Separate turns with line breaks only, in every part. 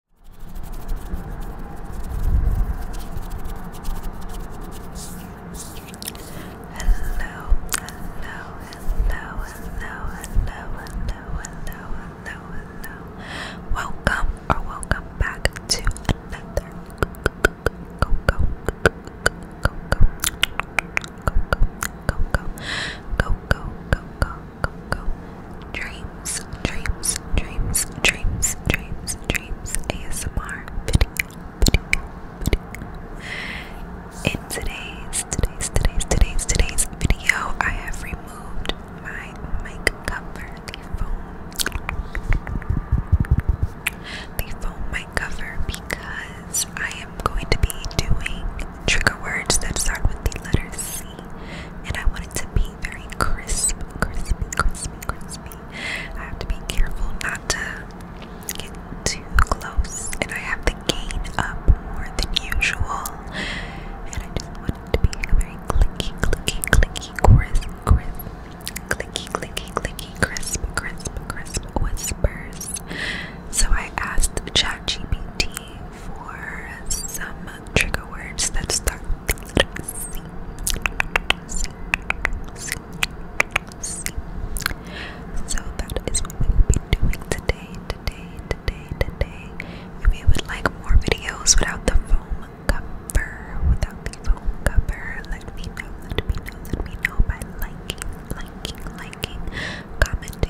hello, hello, hello, hello, hello, hello, hello. Welcome or welcome back to another go go go go go go go go go go go go go go go, go. Dreams, dreams, dreams, dreams, dreams, dreams. ASMR video, In today's, today's, today's, today's, today's video, I have removed my mic cover, the foam, the foam mic cover, because I am going to be doing trigger words that start with the letter C, and I want want it to be very crisp, crispy, crispy, crispy. I have to be careful not to get too close, and I have the gain up more than usual. And I just want it to be a very clicky, clicky, clicky, crisp, crisp, clicky, clicky, clicky, crisp, crisp, crisp whispers. So I asked ChatGPT for some trigger words that start with the So that is what we will be doing today, today, today, today. If you would like more videos without the foam cover, without the foam cover, let me know, let me know, let me know by liking, liking, liking, commenting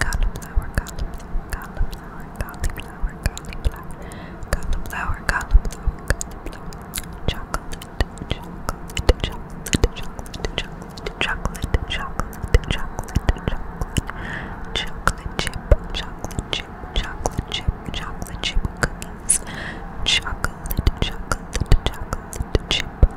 cauliflower, cauliflower, cauliflower, cauliflower, cauliflower, cauliflower, cauliflower, chocolate, chocolate, chocolate, chocolate, chocolate, chocolate, chocolate, chocolate, chocolate, chocolate chip, chocolate chip, chocolate chip, chocolate chip cookies, chocolate, chocolate, chocolate chip.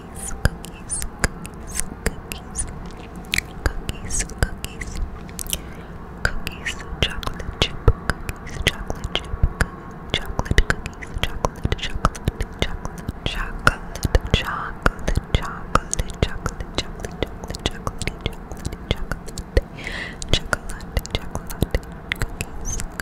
cookies, cookies, cookies, cookies, cookies, cookies, cookies, chocolate chip, cookies, chocolate chip, cookies, chocolate cookies, chocolate, chocolate, chocolate, chocolate, chocolate, chocolate, chocolate, chocolate, chocolate, chocolate, chocolate, chocolate, chocolate, chocolate, cookies,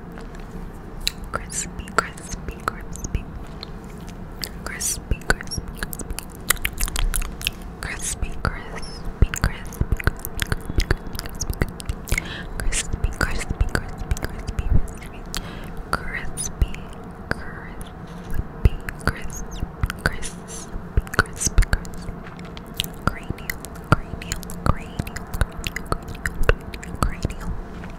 Crispy, crispy, crispy. Crispy, crispy, crispy. Crispy, crispy, crispy. Crispy, crispy, crispy, crispy, crispy, crispy. Crispy, crispy, crispy, crispy, crispy, crispy. Cranial, cranial, cranial, cranial, cranial, cranial.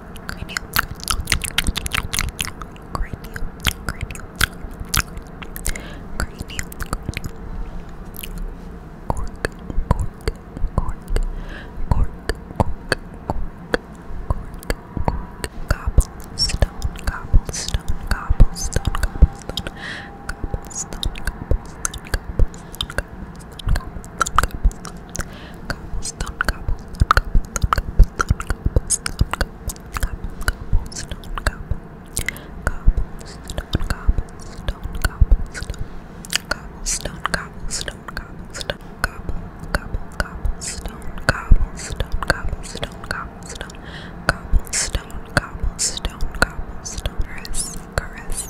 cranial, cranial, cranial, cranial, cork, cork, cork, cork, cork, cork, cork, cobblestone, cobblestone, cobblestone, cobblestone, cobblestone, cobblestone, cobblestone, cobblestone, cobblestone, cobblestone, cobblestone, cobblestone, cobblestone, cobblestone, cobblestone, cobblestone, cobblestone, cobble, cobble, cobblestone, cobblestone, cobblestone, cobblestone, cobblestone, cobblestone, cobblestone, caress, caress,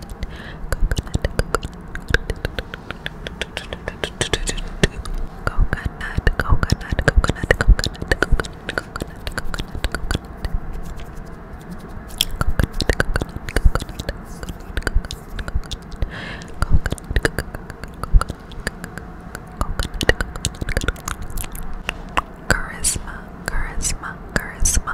coconut, coconut, coconut, charisma, charisma, charisma,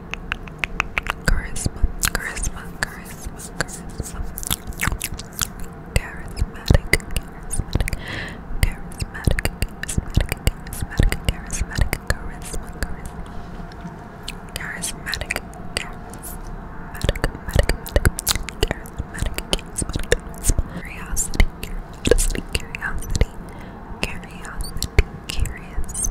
Charisma, charisma, charisma, charisma. Charismatic, charismatic, charismatic, charismatic, charismatic, charisma, charisma. Charismatic, charismatic, curiosity, curiosity, curiosity, curious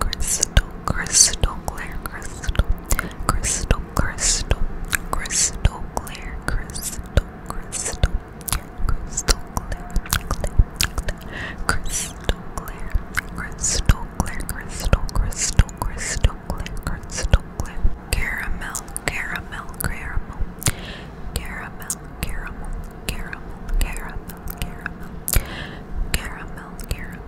crystal, crystal, crystal clear, crystal, crystal, crystal, crystal clear, crystal, crystal, crystal clear, crystal clear, crystal clear, crystal, crystal, crystal clear, crystal clear, caramel, caramel, caramel, caramel, caramel, caramel, caramel, caramel, caramel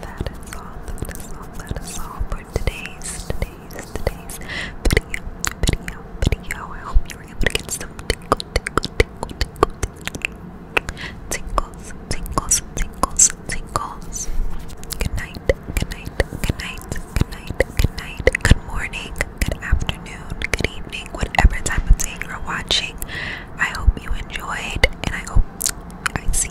that is all, that is all, that is all for today's, today's, today's video, video, video. I hope you were able to get some tinkle, tinkle, tinkle, tinkle, tingles, tingles, tingles, tingles. Good night, good night, good night, good night, good night, good morning, good afternoon, good evening, whatever time of day you're watching. I hope you enjoyed, and I hope I see